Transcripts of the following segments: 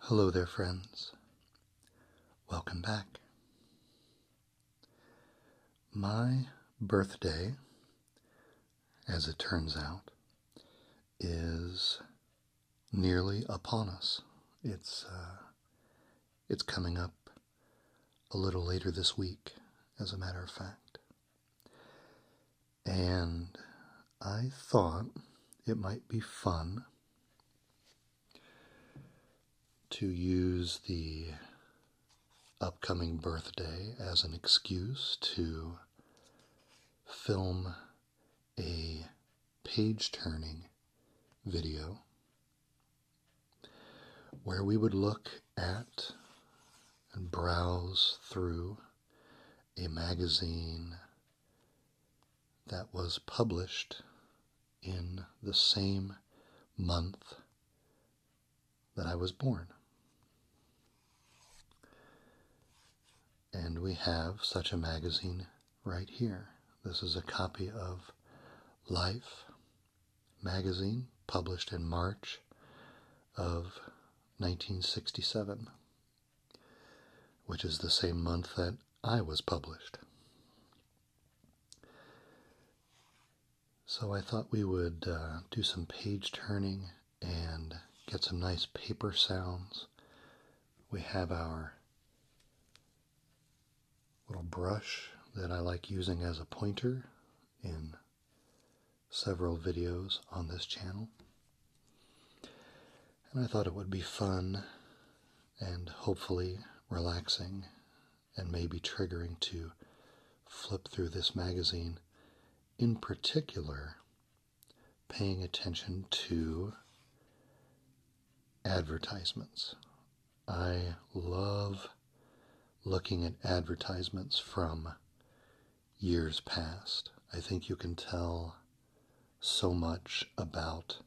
Hello there, friends. Welcome back. My birthday, as it turns out, is nearly upon us. It's uh, it's coming up a little later this week, as a matter of fact. And I thought it might be fun to use the upcoming birthday as an excuse to film a page turning video where we would look at and browse through a magazine that was published in the same month that I was born. And we have such a magazine right here. This is a copy of Life magazine published in March of 1967, which is the same month that I was published. So I thought we would uh, do some page turning and get some nice paper sounds. We have our little brush that I like using as a pointer in several videos on this channel. And I thought it would be fun and hopefully relaxing and maybe triggering to flip through this magazine, in particular, paying attention to advertisements. I love looking at advertisements from years past. I think you can tell so much about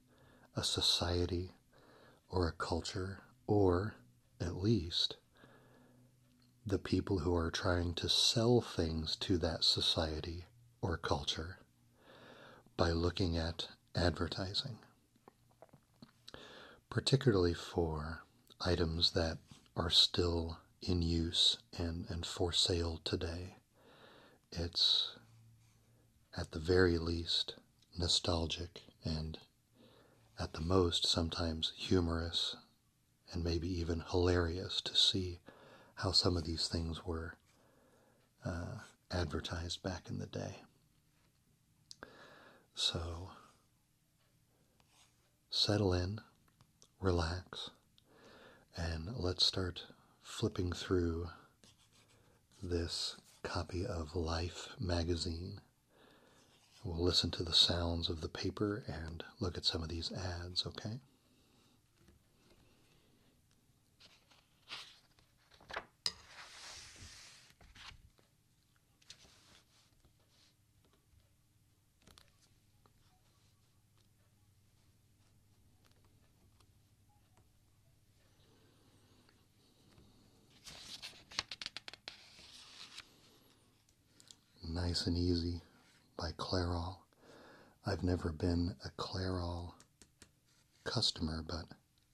a society or a culture, or at least the people who are trying to sell things to that society or culture by looking at advertising, particularly for items that are still in use and, for sale today. It's at the very least nostalgic and at the most sometimes humorous and maybe even hilarious to see how some of these things were uh, advertised back in the day. So settle in, relax, and let's start flipping through this copy of Life magazine. We'll listen to the sounds of the paper and look at some of these ads, okay? Nice and Easy by Clairol. I've never been a Clairol customer, but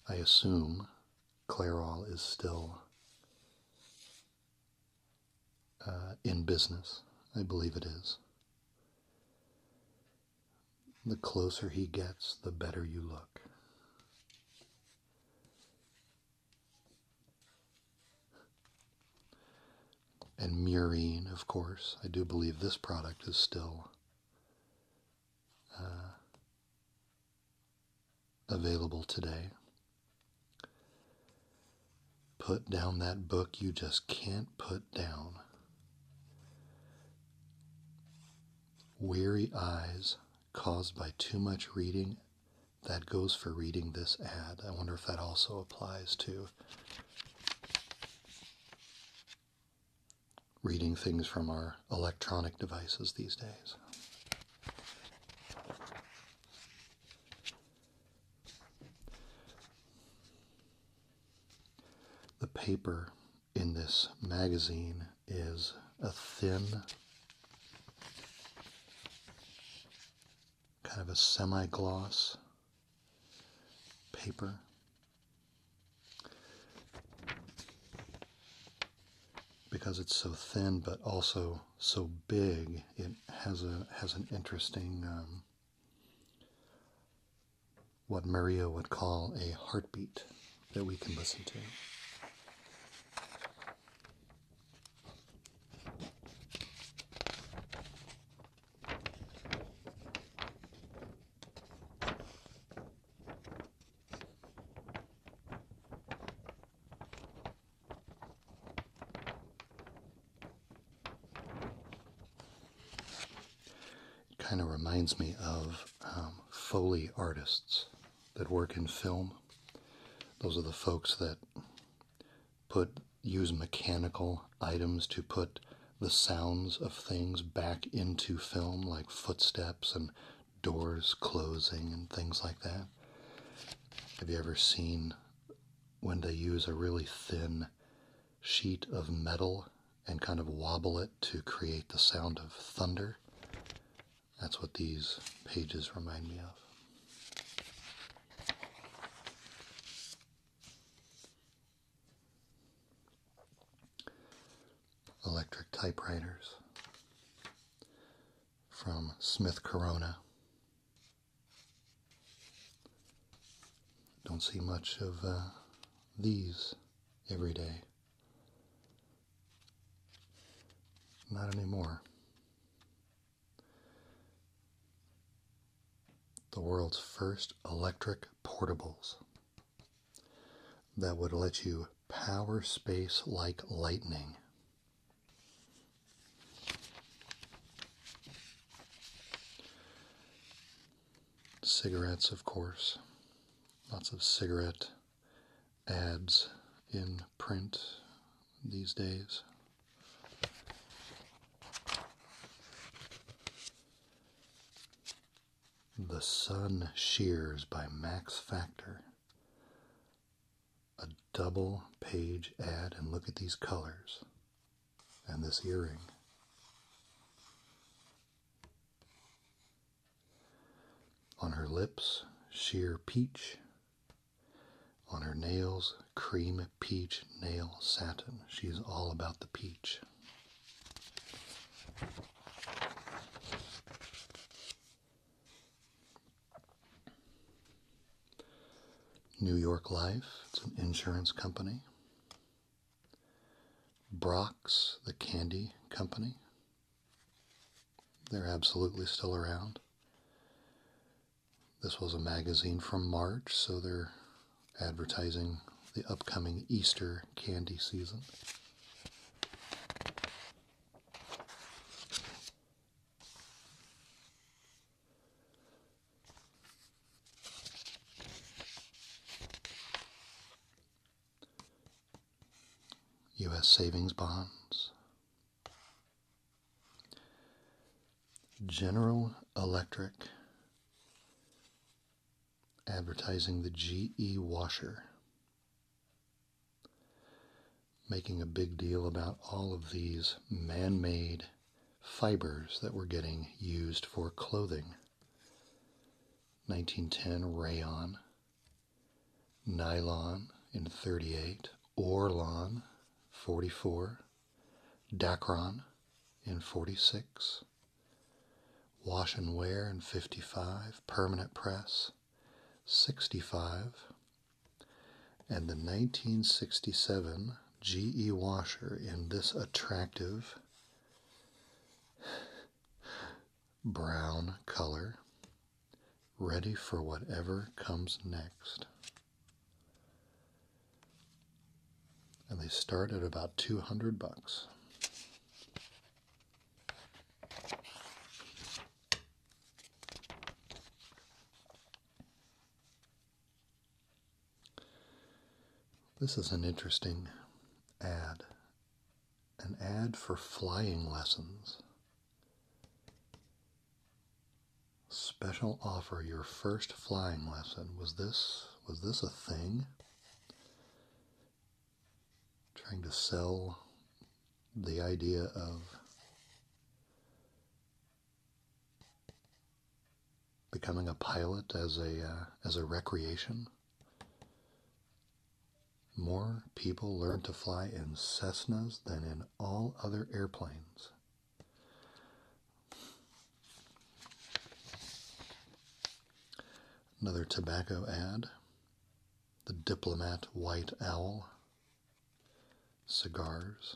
I assume Clairol is still uh, in business. I believe it is. The closer he gets, the better you look. And murine, of course. I do believe this product is still uh, available today. Put down that book you just can't put down. Weary eyes caused by too much reading. That goes for reading this ad. I wonder if that also applies to reading things from our electronic devices these days. The paper in this magazine is a thin, kind of a semi gloss paper because it's so thin but also so big it has a has an interesting um, what Maria would call a heartbeat that we can listen to. It kind of reminds me of um, Foley artists that work in film. Those are the folks that put use mechanical items to put the sounds of things back into film, like footsteps and doors closing and things like that. Have you ever seen when they use a really thin sheet of metal and kind of wobble it to create the sound of thunder? That's what these pages remind me of electric typewriters from Smith Corona. Don't see much of uh, these every day. Not anymore. The world's first electric portables that would let you power space like lightning. Cigarettes, of course, lots of cigarette ads in print these days. The Sun Shears by Max Factor. A double page ad, and look at these colors and this earring. On her lips, sheer peach. On her nails, cream peach nail satin. She's all about the peach. New York Life, it's an insurance company. Brock's, the candy company. They're absolutely still around. This was a magazine from March, so they're advertising the upcoming Easter candy season. U.S. savings bonds. General Electric advertising the GE washer, making a big deal about all of these man made fibers that were getting used for clothing. 1910 rayon, nylon in 38, Orlon 44, Dacron in 46, Wash and wear in 55, permanent press 65, and the 1967 GE washer in this attractive brown color, ready for whatever comes next and they start at about 200 bucks. This is an interesting ad. An ad for flying lessons. Special offer your first flying lesson. Was this was this a thing? trying to sell the idea of becoming a pilot as a uh, as a recreation. More people learn to fly in Cessnas than in all other airplanes. Another tobacco ad. The Diplomat White Owl. Cigars.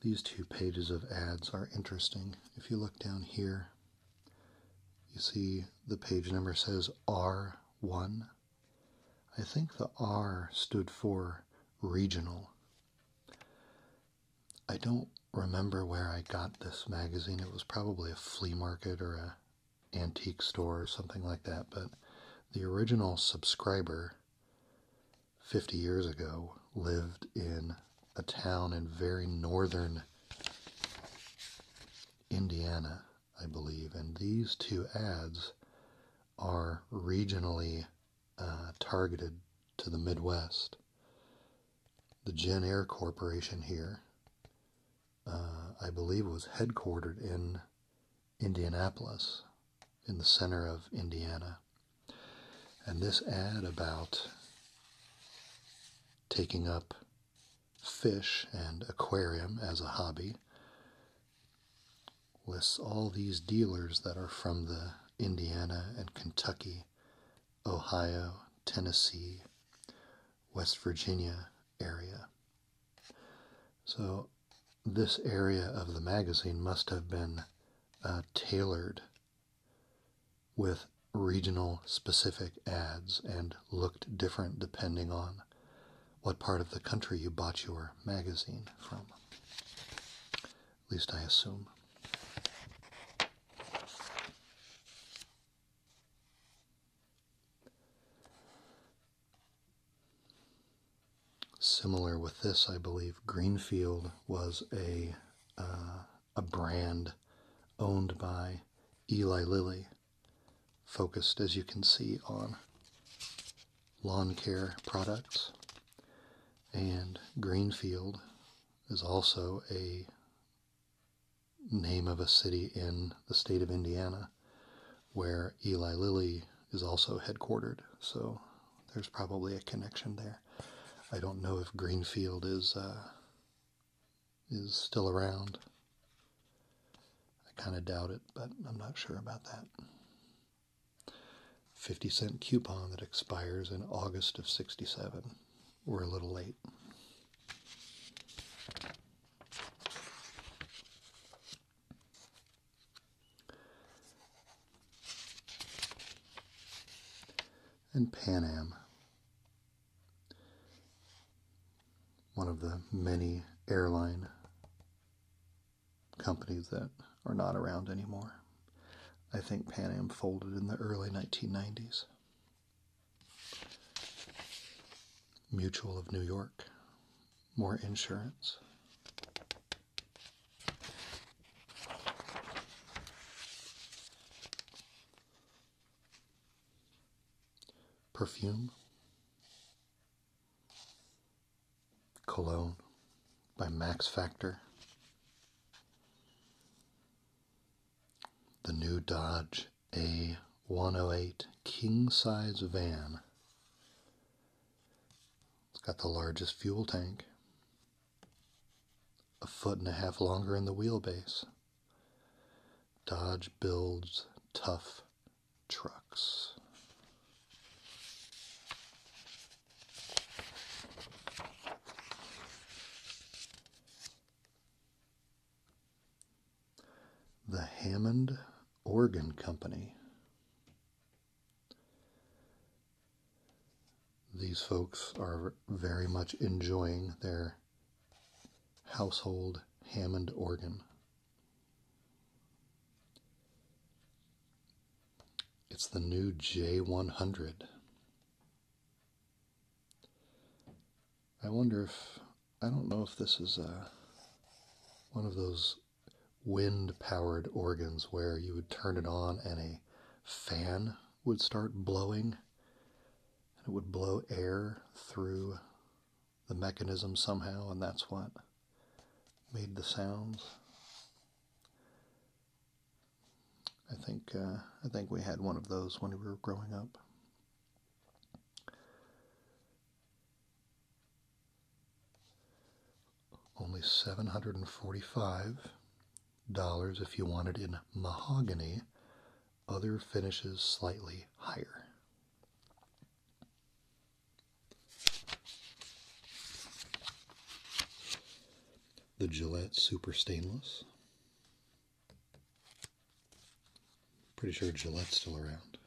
These two pages of ads are interesting. If you look down here, you see the page number says R1. I think the R stood for regional. I don't remember where I got this magazine. It was probably a flea market or a antique store or something like that, but the original subscriber 50 years ago lived in a town in very northern Indiana, I believe, and these two ads are regionally uh, targeted to the Midwest. The Gen Air Corporation here, uh, I believe, was headquartered in Indianapolis, in the center of Indiana. And this ad about taking up fish and aquarium as a hobby lists all these dealers that are from the Indiana and Kentucky, Ohio, Tennessee, West Virginia area. So, this area of the magazine must have been uh, tailored with regional specific ads and looked different depending on what part of the country you bought your magazine from. At least I assume. Similar with this, I believe Greenfield was a uh, a brand owned by Eli Lilly, focused, as you can see, on lawn care products. And Greenfield is also a name of a city in the state of Indiana where Eli Lilly is also headquartered. So there's probably a connection there. I don't know if Greenfield is uh, is still around. I kind of doubt it, but I'm not sure about that. 50 cent coupon that expires in August of 67. We're a little late. And Pan Am one of the many airline companies that are not around anymore. I think Pan Am folded in the early 1990s. Mutual of New York, more insurance. Perfume, Cologne by Max Factor, the new Dodge A108 king size van. It's got the largest fuel tank, a foot and a half longer in the wheelbase. Dodge builds tough trucks. The Hammond Organ Company. These folks are very much enjoying their household Hammond organ. It's the new J100. I wonder if, I don't know if this is a, uh, one of those wind powered organs where you would turn it on and a fan would start blowing it would blow air through the mechanism somehow, and that's what made the sounds. I think uh, I think we had one of those when we were growing up. Only seven hundred and forty-five dollars if you want it in mahogany other finishes slightly higher. The Gillette Super Stainless. Pretty sure Gillette's still around.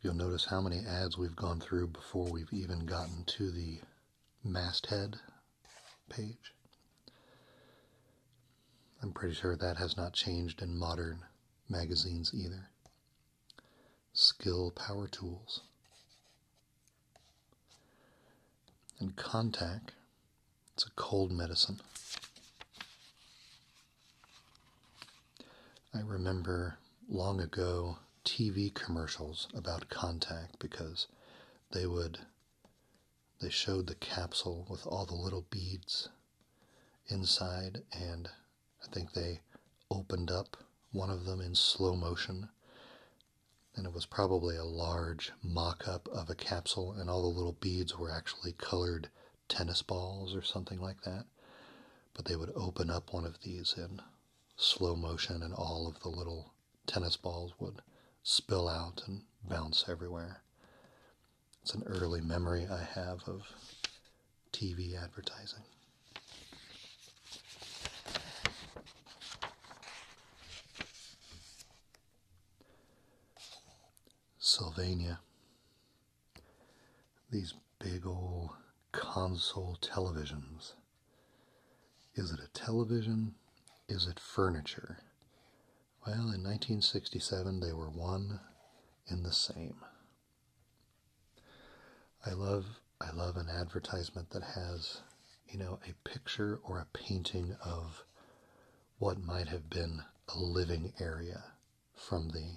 You'll notice how many ads we've gone through before we've even gotten to the masthead page. I'm pretty sure that has not changed in modern magazines either. Skill Power Tools. And Contact, it's a cold medicine. I remember long ago TV commercials about contact because they would they showed the capsule with all the little beads inside and I think they opened up one of them in slow motion and it was probably a large mock-up of a capsule and all the little beads were actually colored tennis balls or something like that but they would open up one of these in slow motion, and all of the little tennis balls would spill out and bounce everywhere. It's an early memory I have of TV advertising. Sylvania. These big old console televisions. Is it a television? Is it furniture? Well, in 1967, they were one and the same. I love I love an advertisement that has, you know, a picture or a painting of what might have been a living area from the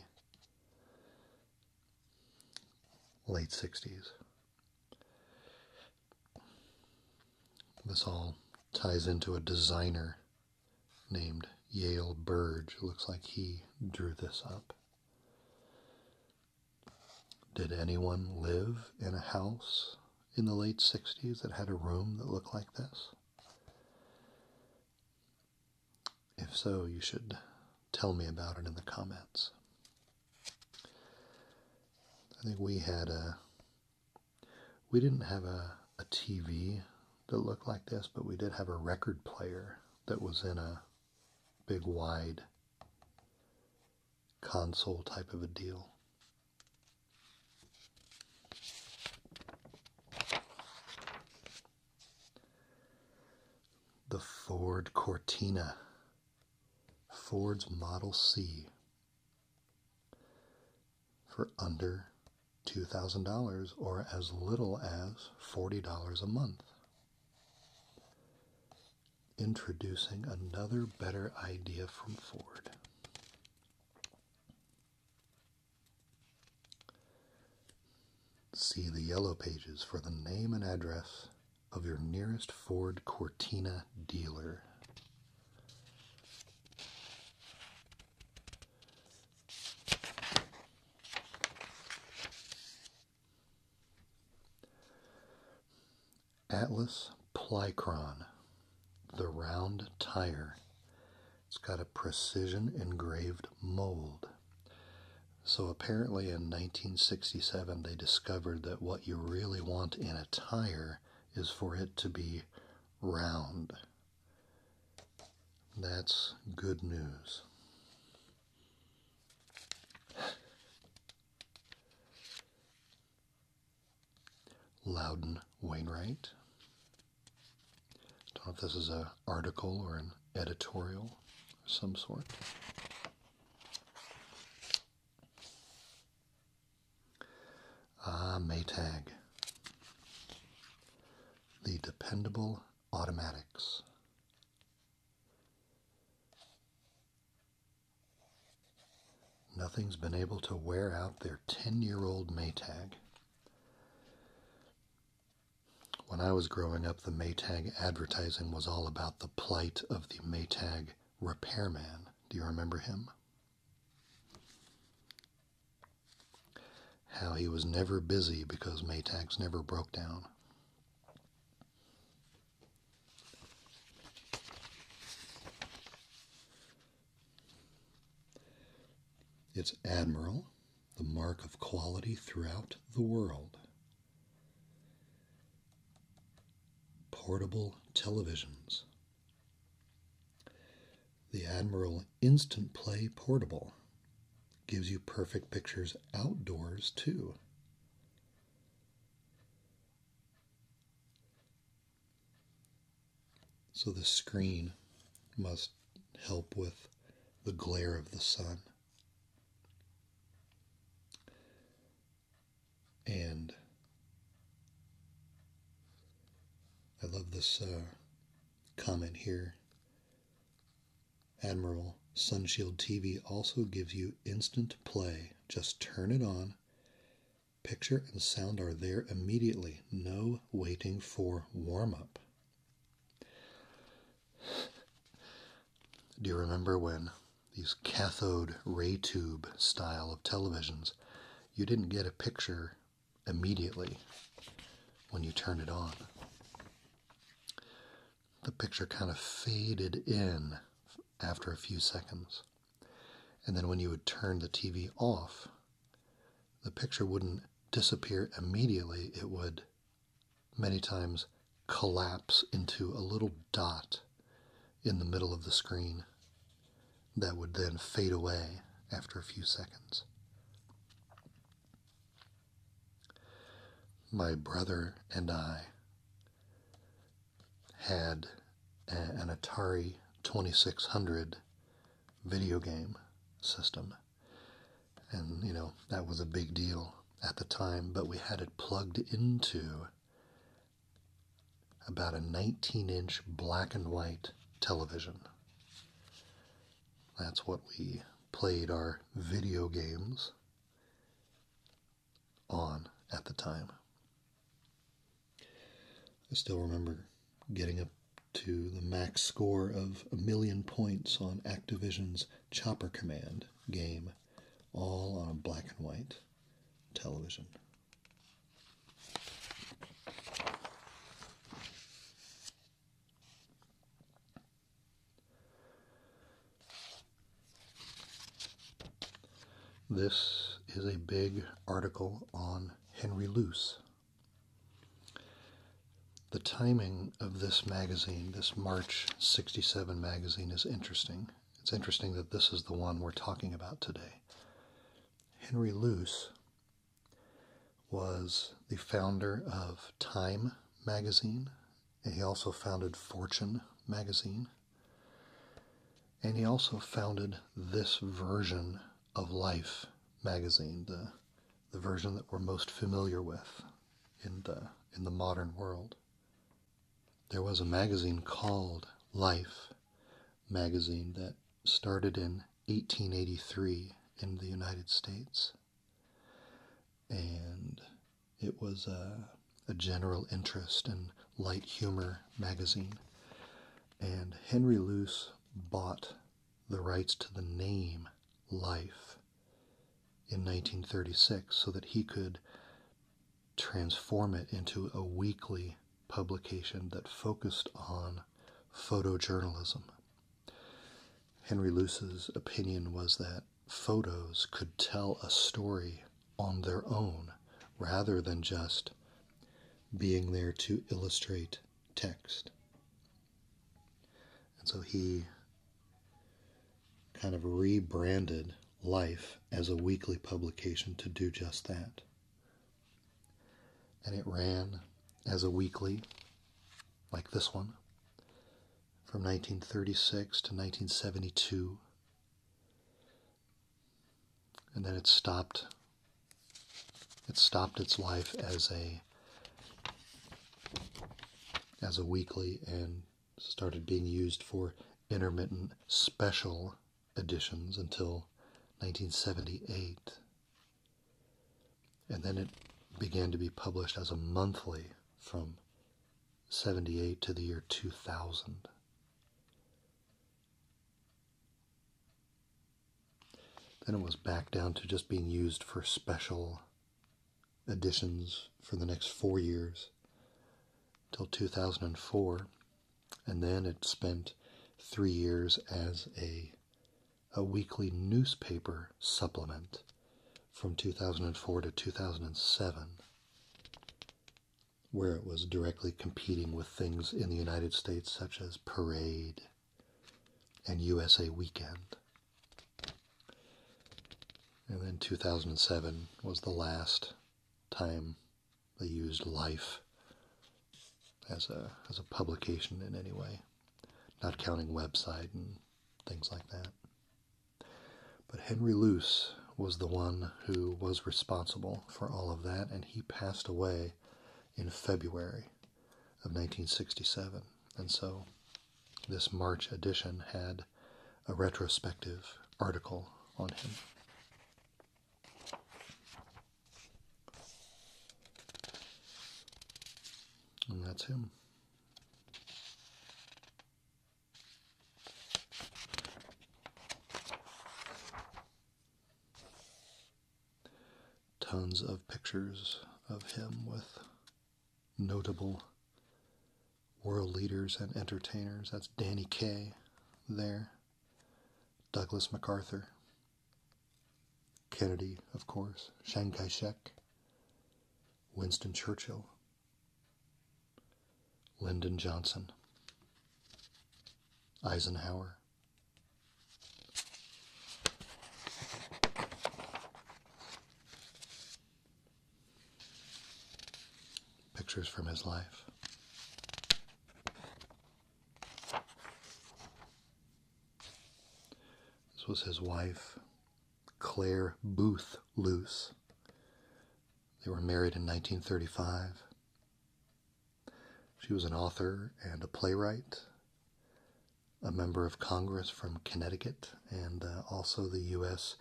late 60s. This all ties into a designer named Yale Burge. Looks like he drew this up. Did anyone live in a house in the late 60s that had a room that looked like this? If so, you should tell me about it in the comments. I think we had a we didn't have a, TV that looked like this, but we did have a record player that was in a big wide console type of a deal. The Ford Cortina, Ford's Model C for under $2,000 or as little as $40 a month. Introducing another better idea from Ford. See the yellow pages for the name and address of your nearest Ford Cortina dealer. Atlas Plycron, the round tire. It's got a precision engraved mold. So, apparently, in 1967, they discovered that what you really want in a tire is for it to be round. That's good news. Loudon Wainwright. Don't know if this is a article or an editorial of some sort. Ah, Maytag. The Dependable Automatics. Nothing's been able to wear out their 10 year old Maytag. When I was growing up, the Maytag advertising was all about the plight of the Maytag repairman. Do you remember him? How he was never busy because Maytags never broke down. It's Admiral the mark of quality throughout the world. Portable televisions. The Admiral Instant Play Portable gives you perfect pictures outdoors too. So the screen must help with the glare of the sun. And I love this uh, comment here. Admiral, Sunshield TV also gives you instant play. Just turn it on. Picture and sound are there immediately. No waiting for warm up. Do you remember when these cathode ray tube style of televisions, you didn't get a picture immediately when you turned it on? The picture kind of faded in after a few seconds. And then when you would turn the TV off, the picture wouldn't disappear immediately, it would many times collapse into a little dot in the middle of the screen that would then fade away after a few seconds. My brother and I had an Atari 2600 video game system and, you know, that was a big deal at the time, but we had it plugged into about a 19 inch black and white television. That's what we played our video games on at the time. I still remember getting up to the max score of a million points on Activision's Chopper Command game, all on a black and white television. This is a big article on Henry Loose. The timing of this magazine, this March 67 magazine, is interesting. It's interesting that this is the one we're talking about today. Henry Luce was the founder of Time magazine, and he also founded Fortune magazine. And he also founded this version of Life magazine, the, the version that we're most familiar with, in the in the modern world. There was a magazine called Life magazine that started in 1883 in the United States. And it was a, a general interest and light humor magazine. And Henry Luce bought the rights to the name Life in 1936 so that he could transform it into a weekly publication that focused on photojournalism. Henry Luce's opinion was that photos could tell a story on their own rather than just being there to illustrate text. And so he kind of rebranded Life as a weekly publication to do just that. And it ran as a weekly, like this one, from 1936 to 1972. And then it stopped. It stopped its life as a as a weekly and started being used for intermittent special editions until 1978. And then it began to be published as a monthly from 78 to the year 2000. Then it was back down to just being used for special editions for the next four years till 2004, and then it spent three years as a a weekly newspaper supplement from 2004 to 2007, where it was directly competing with things in the United States such as Parade and USA Weekend. And then 2007 was the last time they used life as a as a publication in any way, not counting website and things like that. But Henry Luce was the one who was responsible for all of that, and he passed away in February of 1967. And so this March edition had a retrospective article on him. And that's him. Tons of pictures of him with notable world leaders and entertainers. That's Danny Kaye there, Douglas MacArthur, Kennedy, of course, Chiang Kai shek, Winston Churchill, Lyndon Johnson, Eisenhower. Pictures from his life. This was his wife, Claire Booth Luce. They were married in 1935. She was an author and a playwright, a member of Congress from Connecticut, and uh, also the U.S.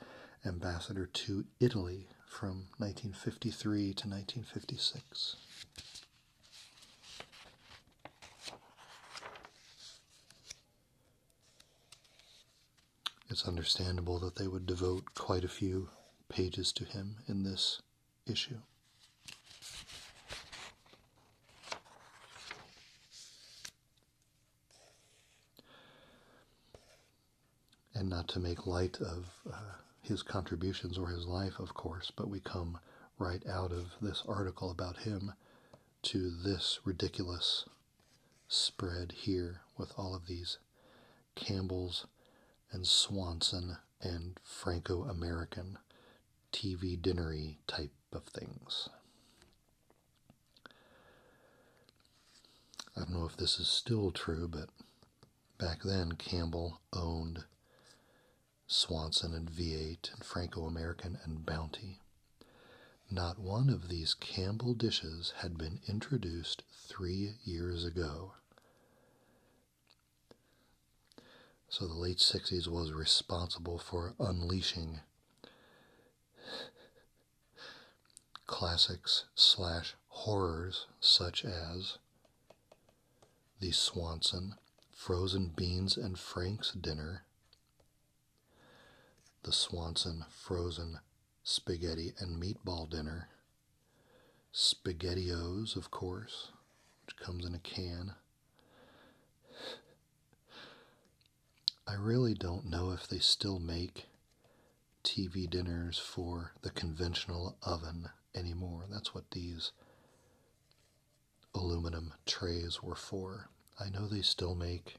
ambassador to Italy from 1953 to 1956. It's understandable that they would devote quite a few pages to him in this issue. And not to make light of uh, his contributions or his life, of course, but we come right out of this article about him to this ridiculous spread here with all of these Campbell's and Swanson and Franco American TV dinnery type of things. I don't know if this is still true, but back then Campbell owned Swanson and V8 and Franco American and Bounty. Not one of these Campbell dishes had been introduced three years ago. So the late 60s was responsible for unleashing classics slash horrors such as The Swanson, Frozen Beans and Frank's Dinner, The Swanson Frozen Spaghetti and Meatball Dinner, SpaghettiOs, of course, which comes in a can. I really don't know if they still make TV dinners for the conventional oven anymore. That's what these aluminum trays were for. I know they still make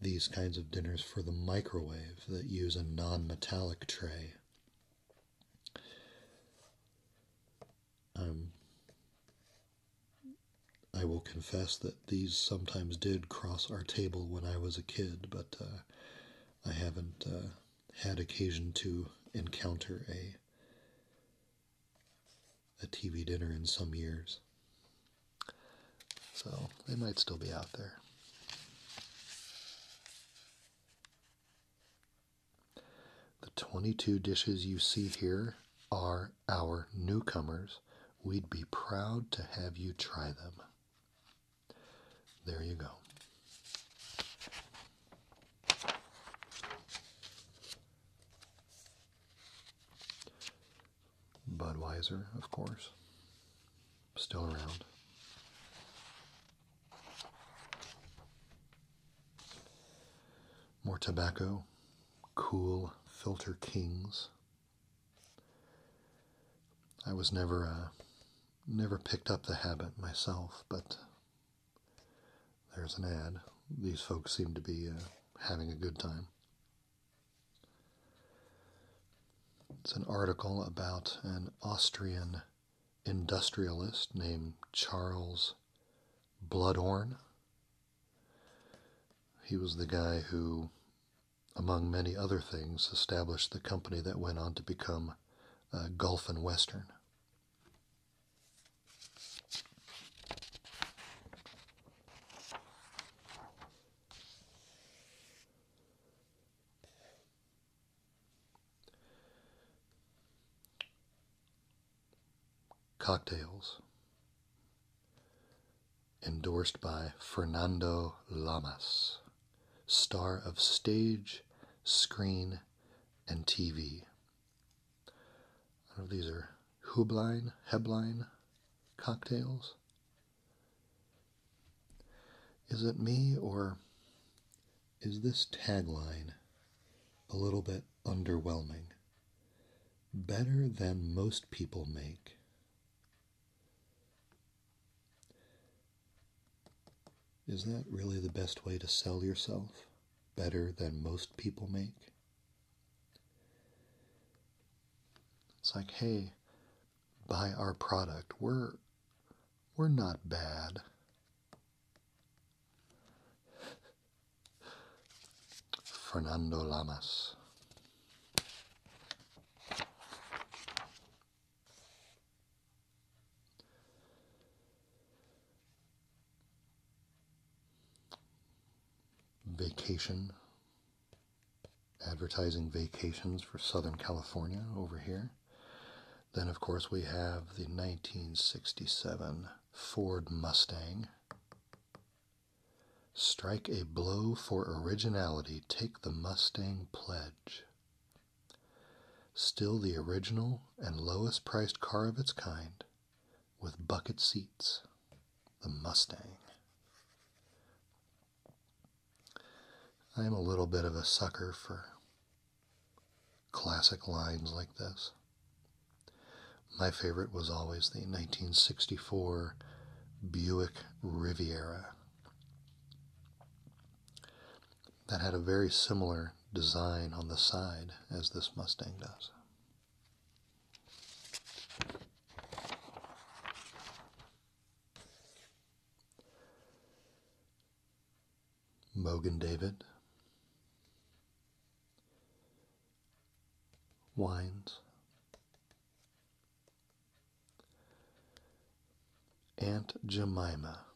these kinds of dinners for the microwave that use a non metallic tray. Um, I will confess that these sometimes did cross our table when I was a kid, but uh, I haven't uh, had occasion to encounter a a TV dinner in some years. So they might still be out there. The 22 dishes you see here are our newcomers, we'd be proud to have you try them. There you go. Budweiser, of course, still around. More tobacco, cool filter kings, I was never uh, never picked up the habit myself, but there's an ad. These folks seem to be uh, having a good time. It's an article about an Austrian industrialist named Charles Bloodhorn. He was the guy who, among many other things, established the company that went on to become uh, Gulf and Western. cocktails endorsed by Fernando Lamas, star of stage, screen, and TV. these are Hubline, Hebline cocktails. Is it me or is this tagline a little bit underwhelming? better than most people make. Is that really the best way to sell yourself? Better than most people make? It's like, hey, buy our product. We're we're not bad. Fernando Lamas. Vacation, advertising vacations for Southern California over here. Then, of course, we have the 1967 Ford Mustang Strike a blow for originality, take the Mustang pledge. Still the original and lowest priced car of its kind with bucket seats, the Mustang. I'm a little bit of a sucker for classic lines like this. My favorite was always the 1964 Buick Riviera. That had a very similar design on the side as this Mustang does. Mogan David, Wines, Aunt Jemima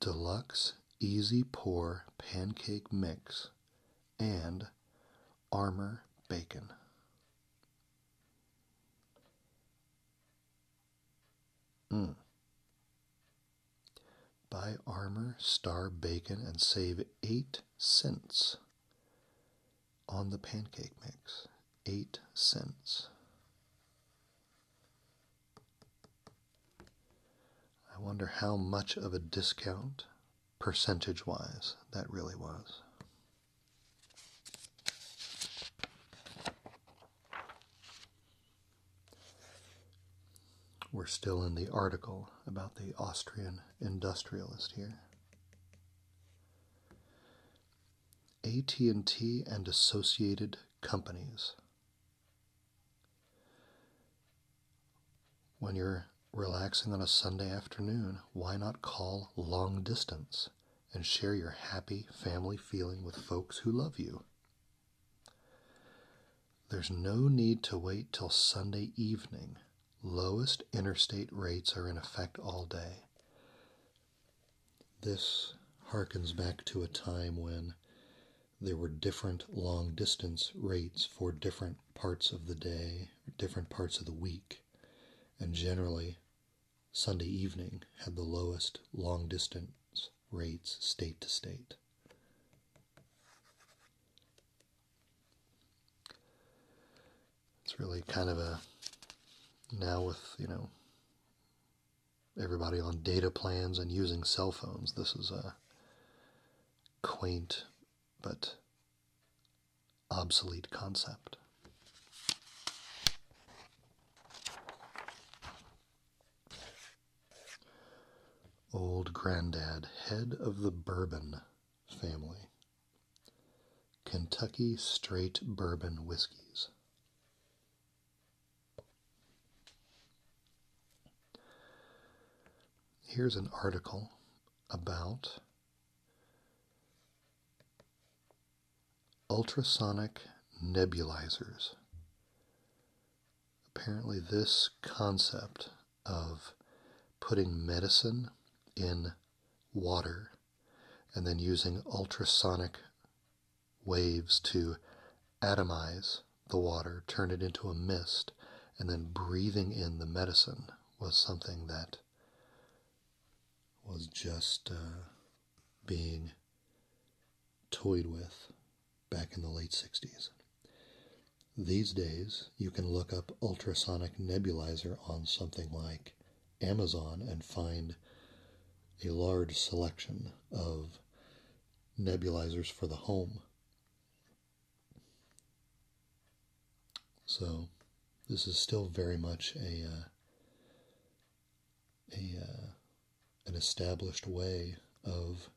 Deluxe Easy Pour Pancake Mix and Armor Bacon. Mm. Buy Armor Star Bacon and save 8 cents on the pancake mix, eight cents. I wonder how much of a discount, percentage wise, that really was. We're still in the article about the Austrian industrialist here. AT&T and associated companies. When you're relaxing on a Sunday afternoon, why not call long distance and share your happy family feeling with folks who love you? There's no need to wait till Sunday evening lowest interstate rates are in effect all day. This harkens back to a time when there were different long distance rates for different parts of the day, different parts of the week, and generally Sunday evening had the lowest long distance rates state to state. It's really kind of a now with, you know, everybody on data plans and using cell phones, this is a quaint but obsolete concept. Old Grandad, head of the Bourbon family. Kentucky straight bourbon whiskeys. Here's an article about ultrasonic nebulizers. Apparently, this concept of putting medicine in water and then using ultrasonic waves to atomize the water, turn it into a mist, and then breathing in the medicine was something that was just uh, being toyed with back in the late 60s. These days, you can look up ultrasonic nebulizer on something like Amazon and find a large selection of nebulizers for the home. So, this is still very much a uh, a uh, an established way of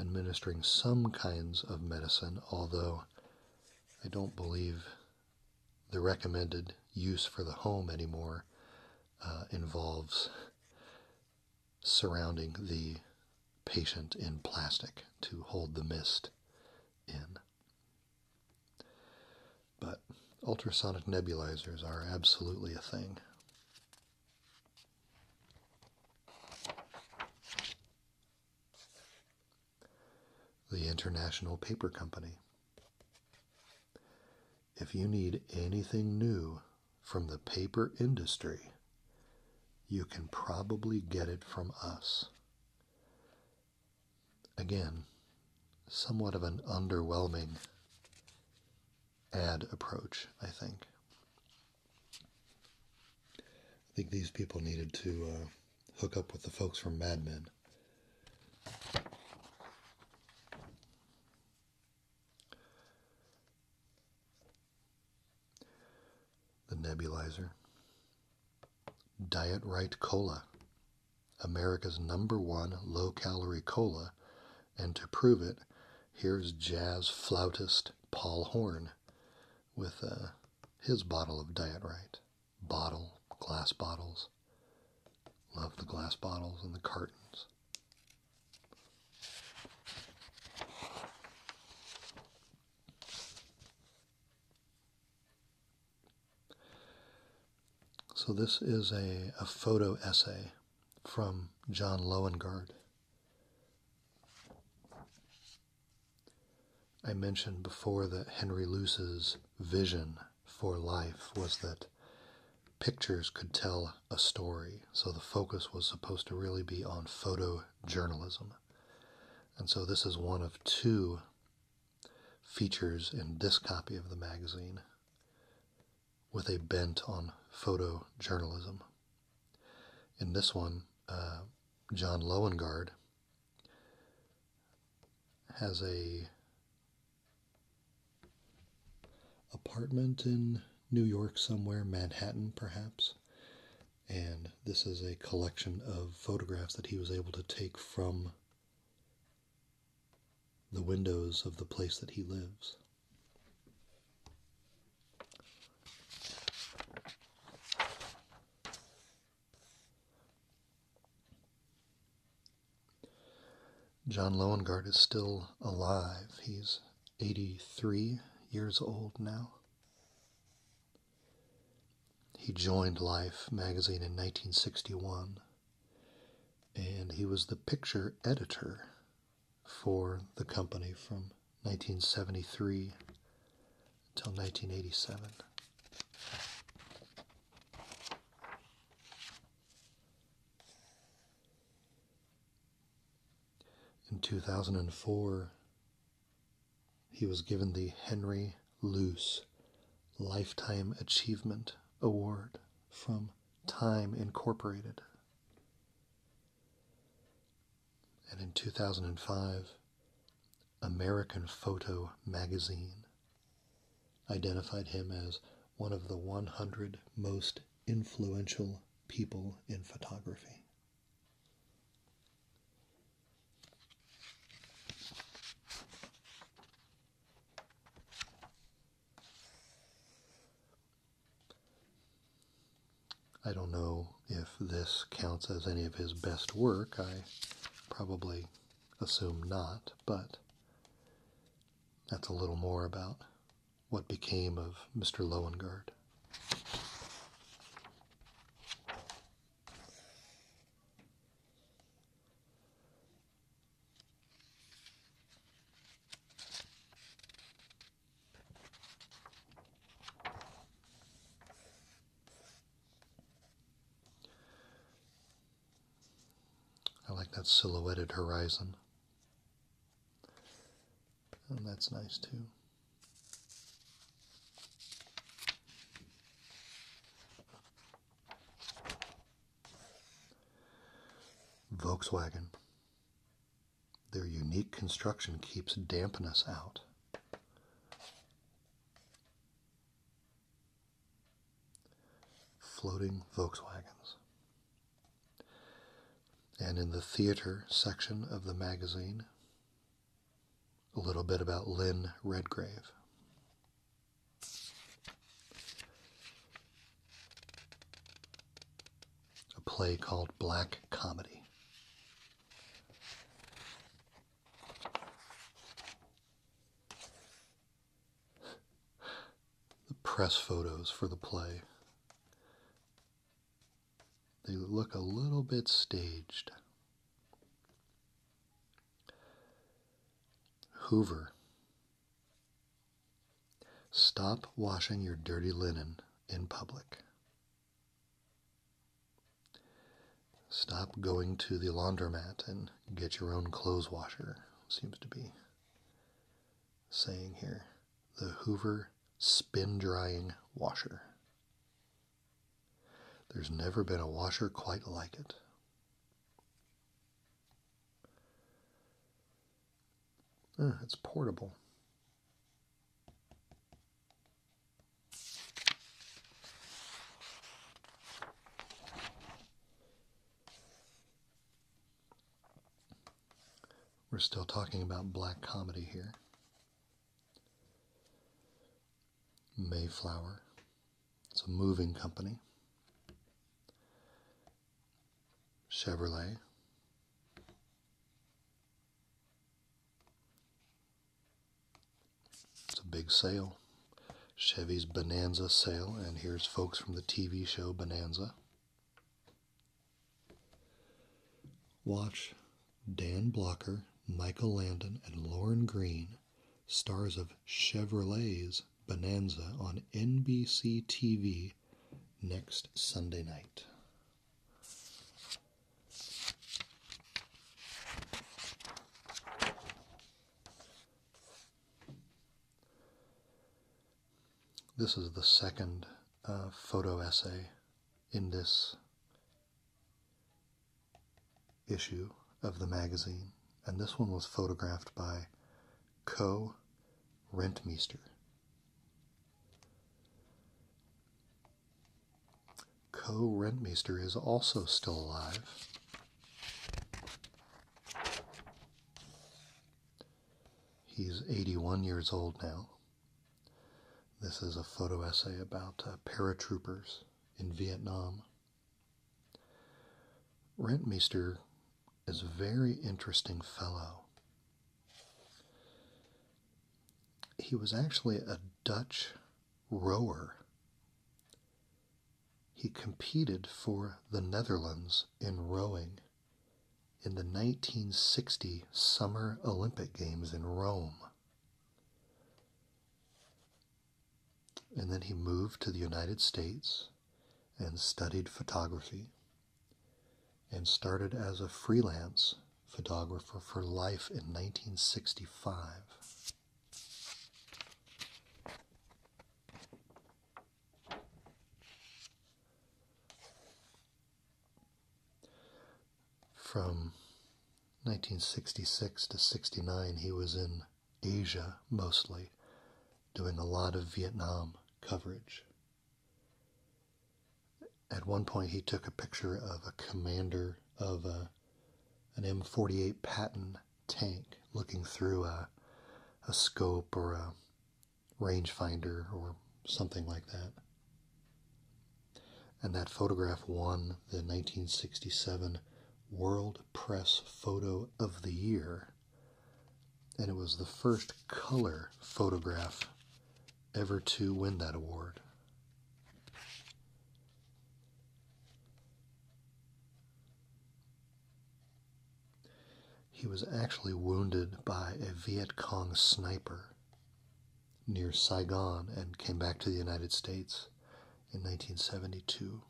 administering some kinds of medicine, although I don't believe the recommended use for the home anymore uh, involves surrounding the patient in plastic to hold the mist in. But ultrasonic nebulizers are absolutely a thing. The International Paper Company. If you need anything new from the paper industry, you can probably get it from us. Again, somewhat of an underwhelming ad approach, I think. I think these people needed to uh, hook up with the folks from Mad Men. The nebulizer. Diet Right Cola, America's number one low calorie cola, and to prove it, Here's jazz flautist Paul Horn with uh, his bottle of Diet Right. Bottle, glass bottles. Love the glass bottles and the cartons. So, this is a, a photo essay from John Lowengard I mentioned before that Henry Luce's vision for life was that pictures could tell a story, so the focus was supposed to really be on photojournalism. And so this is one of two features in this copy of the magazine with a bent on photojournalism. In this one, uh, John Lowengard has a apartment in New York somewhere, Manhattan perhaps. And this is a collection of photographs that he was able to take from the windows of the place that he lives. John Lowengard is still alive. He's 83 years old now. He joined Life magazine in 1961 and he was the picture editor for the company from 1973 until 1987. In 2004, he was given the Henry Luce Lifetime Achievement Award from Time Incorporated and in 2005, American Photo magazine identified him as one of the 100 most influential people in photography. I don't know if this counts as any of his best work. I probably assume not, but that's a little more about what became of Mr. Lowengard. I like that silhouetted horizon. And that's nice too. Volkswagen. Their unique construction keeps dampness out. Floating Volkswagens. And in the theater section of the magazine, a little bit about Lynn Redgrave a play called Black Comedy. The press photos for the play. They look a little bit staged. Hoover Stop washing your dirty linen in public. Stop going to the laundromat and get your own clothes washer, seems to be saying here. The Hoover spin drying washer. There's never been a washer quite like it. it's portable. We're still talking about black comedy here. Mayflower. It's a moving company. Chevrolet. It's a big sale. Chevy's Bonanza sale, and here's folks from the TV show Bonanza. Watch Dan Blocker, Michael Landon, and Lauren Green, stars of Chevrolet's Bonanza on NBC TV next Sunday night. This is the second uh, photo essay in this issue of the magazine, and this one was photographed by Ko Rentmeester. Co Rentmeester is also still alive. He's 81 years old now. This is a photo essay about uh, paratroopers in Vietnam. Rentmeester is a very interesting fellow. He was actually a Dutch rower. He competed for the Netherlands in rowing in the 1960 Summer Olympic Games in Rome. And then he moved to the United States and studied photography and started as a freelance photographer for life in 1965. From 1966 to 69, he was in Asia mostly, doing a lot of Vietnam coverage. At one point, he took a picture of a commander of a, an M48 Patton tank looking through a, a scope or a rangefinder or something like that. And that photograph won the 1967 World Press Photo of the Year. And it was the first color photograph ever to win that award. He was actually wounded by a Viet Cong sniper near Saigon and came back to the United States in 1972.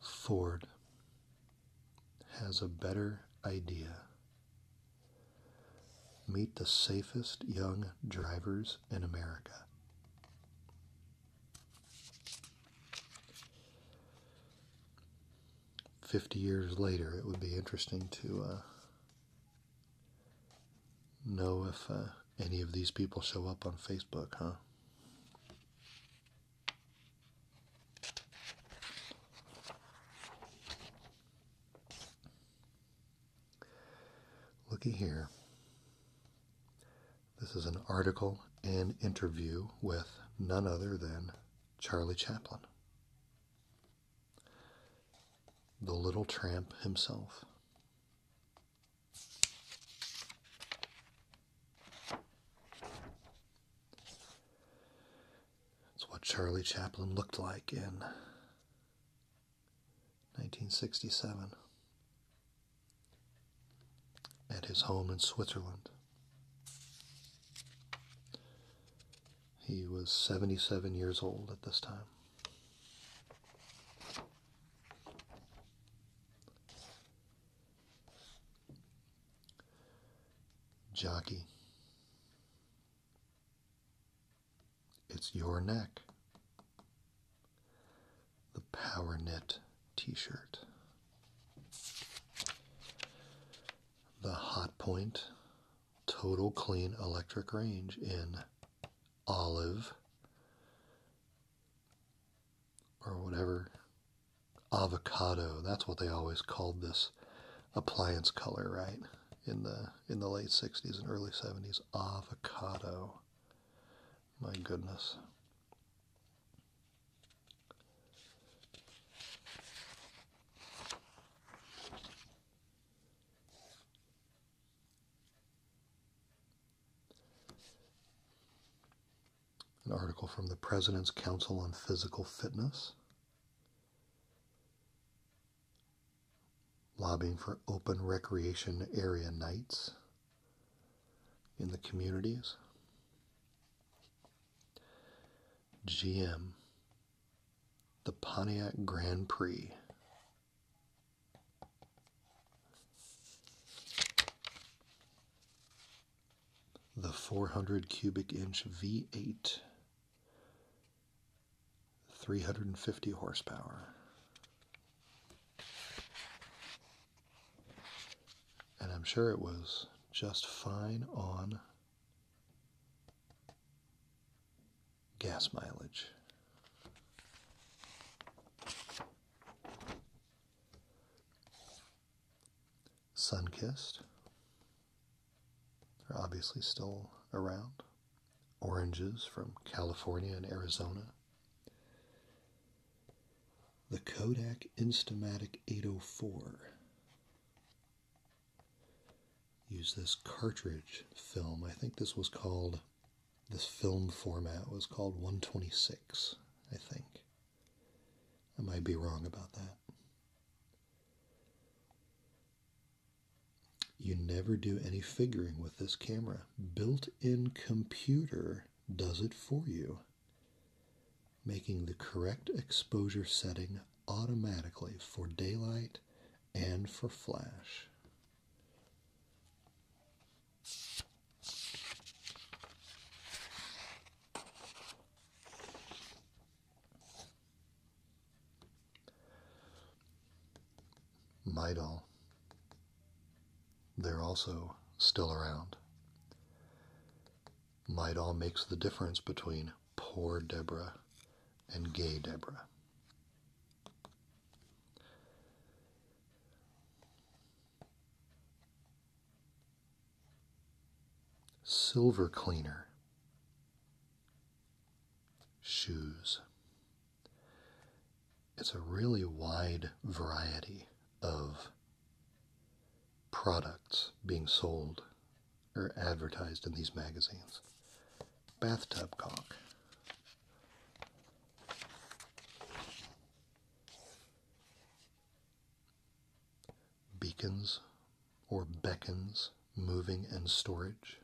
Ford has a better idea. Meet the safest young drivers in America. Fifty years later, it would be interesting to uh, know if. Uh, any of these people show up on Facebook, huh? Looky here. This is an article and interview with none other than Charlie Chaplin, the little tramp himself. That's what Charlie Chaplin looked like in 1967 at his home in Switzerland. He was 77 years old at this time. Jockey. It's your neck. The Power Knit t shirt. The Hot Point Total Clean Electric Range in Olive or whatever avocado that's what they always called this appliance color right in the in the late 60s and early 70s avocado my goodness an article from the President's Council on Physical Fitness. Lobbying for open recreation area nights in the communities. GM, the Pontiac Grand Prix. The 400 cubic inch V8, 350 horsepower. And I'm sure it was just fine on gas mileage. Sun-kissed. Sunkissed are obviously still around. Oranges from California and Arizona. The Kodak Instamatic 804. Use this cartridge film. I think this was called this film format was called 126, I think. I might be wrong about that. You never do any figuring with this camera. Built in computer does it for you, making the correct exposure setting automatically for daylight and for flash. Midol. They're also still around. Midol makes the difference between poor Deborah and gay Deborah silver cleaner, shoes. It's a really wide variety of products being sold or advertised in these magazines. Bathtub cock beacons or beckons, moving and storage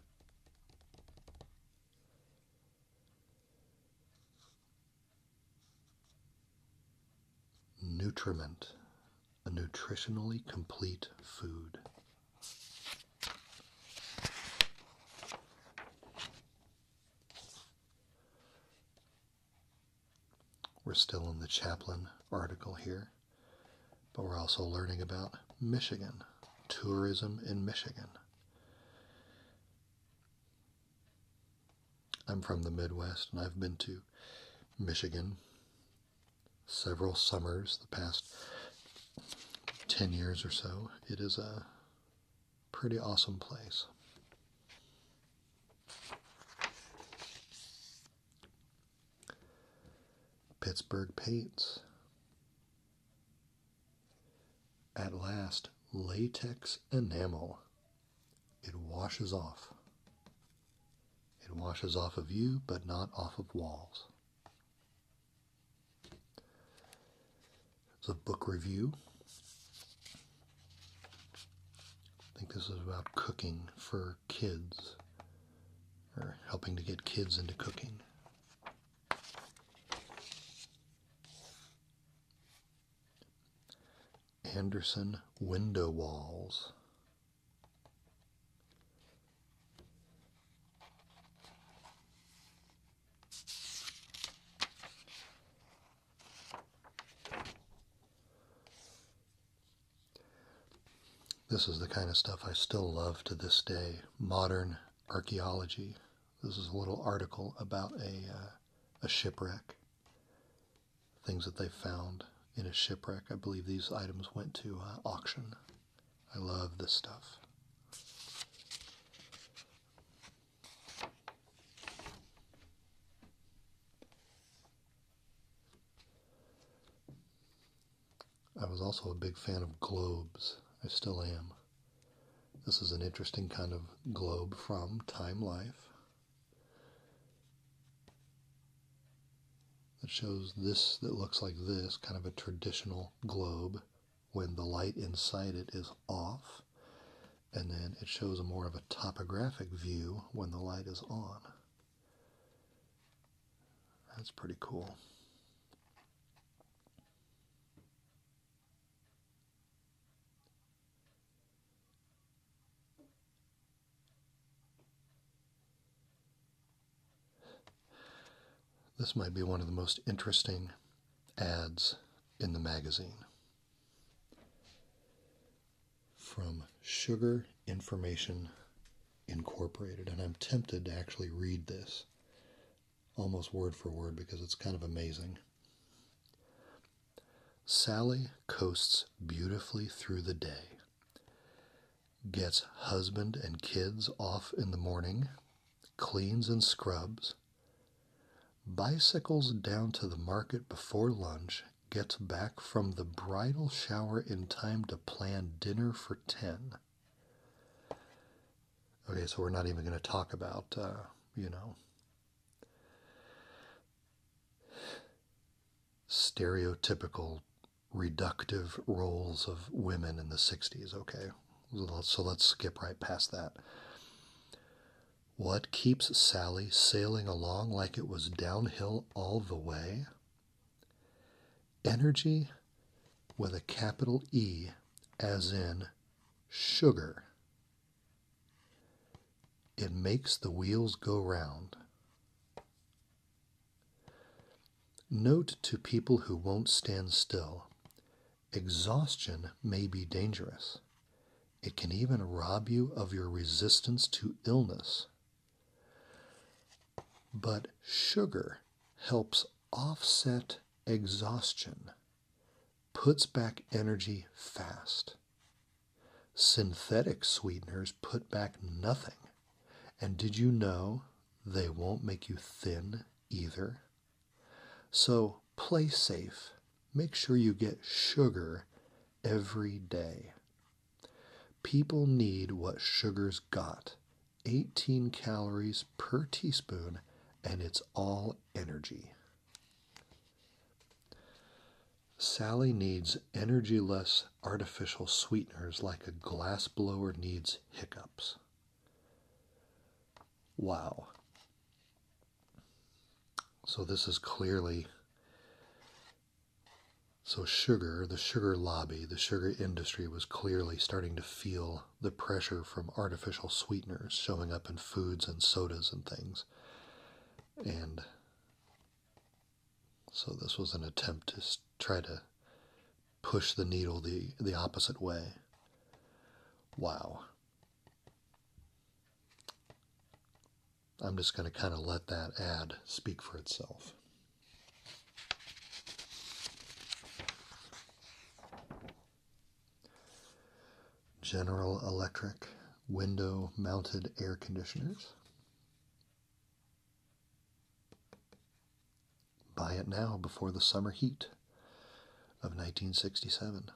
nutriment a nutritionally complete food we're still in the Chaplin article here, but we're also learning about Michigan, tourism in Michigan. I'm from the Midwest and I've been to Michigan several summers the past 10 years or so. It is a Pretty awesome place. Pittsburgh paints. At last, latex enamel. It washes off. It washes off of you, but not off of walls. It's a book review. I think this is about cooking for kids or helping to get kids into cooking. Anderson Window Walls. This is the kind of stuff I still love to this day modern archaeology. This is a little article about a, uh, a shipwreck, things that they found in a shipwreck. I believe these items went to uh, auction. I love this stuff. I was also a big fan of globes. I still am. This is an interesting kind of globe from Time Life that shows this, that looks like this, kind of a traditional globe when the light inside it is off. And then it shows a more of a topographic view when the light is on. That's pretty cool. This might be one of the most interesting ads in the magazine from Sugar Information Incorporated. And I'm tempted to actually read this almost word for word because it's kind of amazing. Sally coasts beautifully through the day, gets husband and kids off in the morning, cleans and scrubs, Bicycles down to the market before lunch, gets back from the bridal shower in time to plan dinner for 10. Okay, so we're not even going to talk about, uh, you know, stereotypical reductive roles of women in the 60s. Okay, so let's skip right past that. What keeps Sally sailing along like it was downhill all the way? Energy with a capital E, as in sugar. It makes the wheels go round. Note to people who won't stand still Exhaustion may be dangerous. It can even rob you of your resistance to illness. But sugar helps offset exhaustion, puts back energy fast. Synthetic sweeteners put back nothing. And did you know they won't make you thin either? So play safe. Make sure you get sugar every day. People need what sugar's got 18 calories per teaspoon, and it's all energy. Sally needs energy less artificial sweeteners like a glass blower needs hiccups. Wow. So this is clearly so sugar, the sugar lobby, the sugar industry was clearly starting to feel the pressure from artificial sweeteners showing up in foods and sodas and things. And so this was an attempt to try to push the needle the, the opposite way. Wow. I'm just going to kind of let that ad speak for itself. General Electric window mounted air conditioners. Buy it now before the summer heat of 1967.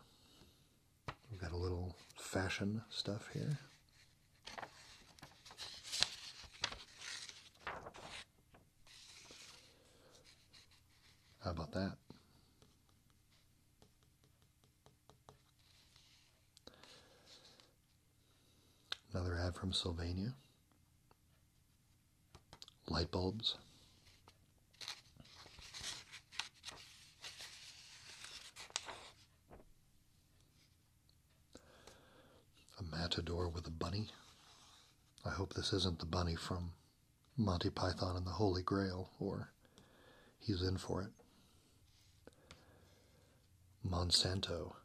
We've got a little fashion stuff here. How about that? Another ad from Sylvania. Light bulbs. A matador with a bunny. I hope this isn't the bunny from Monty Python and the Holy Grail, or he's in for it. Monsanto.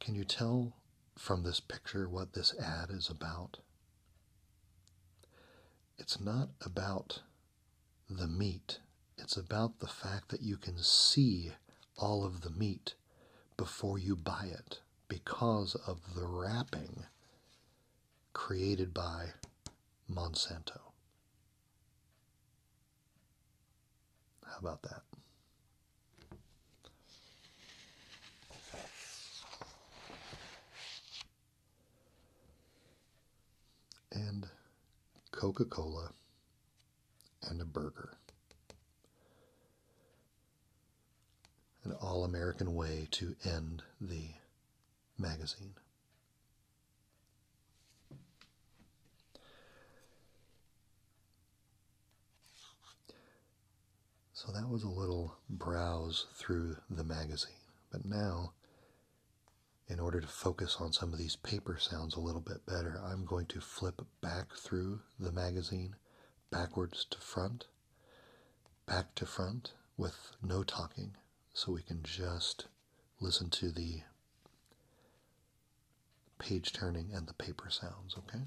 Can you tell from this picture what this ad is about? It's not about the meat, it's about the fact that you can see all of the meat before you buy it because of the wrapping created by Monsanto. How about that? and Coca Cola and a burger. An all American way to end the magazine. So that was a little browse through the magazine. But now, in order to focus on some of these paper sounds a little bit better, I'm going to flip back through the magazine, backwards to front, back to front with no talking, so we can just listen to the page turning and the paper sounds, okay?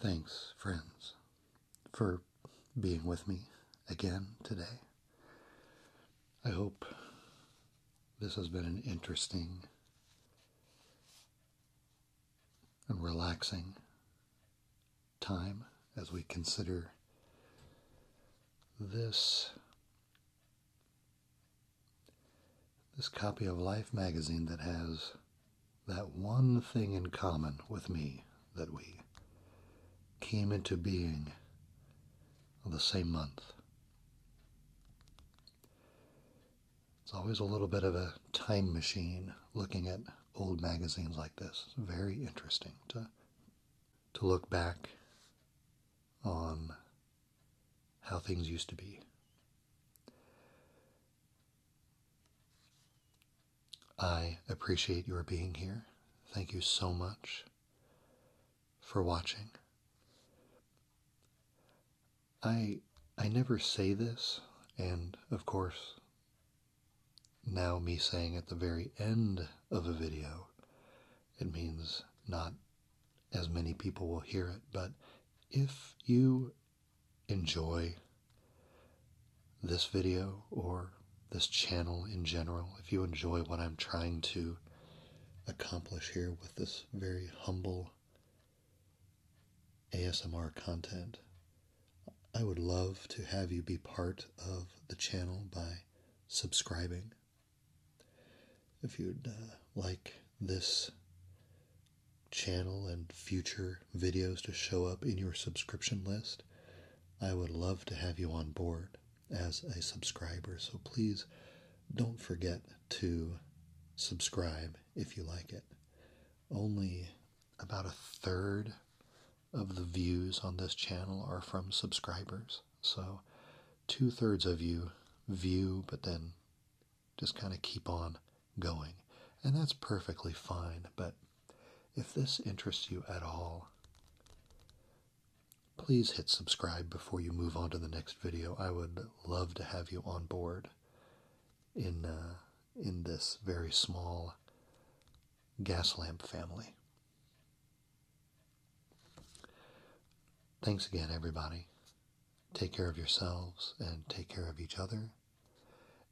Thanks, friends, for being with me again today. I hope this has been an interesting and relaxing time as we consider this this copy of Life magazine that has that one thing in common with me that we came into being the same month. It's always a little bit of a time machine looking at old magazines like this. very interesting to to look back on how things used to be. I appreciate your being here. Thank you so much for watching. I I never say this, and of course, now me saying at the very end of a video it means not as many people will hear it, but if you enjoy this video or this channel in general, if you enjoy what I'm trying to accomplish here with this very humble ASMR content, I would love to have you be part of the channel by subscribing if you'd uh, like this channel and future videos to show up in your subscription list, I would love to have you on board as a subscriber. So please don't forget to subscribe if you like it. Only about a third of the views on this channel are from subscribers. So two thirds of you view, but then just kind of keep on going. And that's perfectly fine. But if this interests you at all, please hit subscribe before you move on to the next video. I would love to have you on board in uh, in this very small gas lamp family. Thanks again, everybody. Take care of yourselves and take care of each other.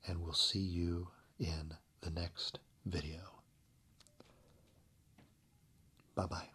And we'll see you in the next video. Bye bye.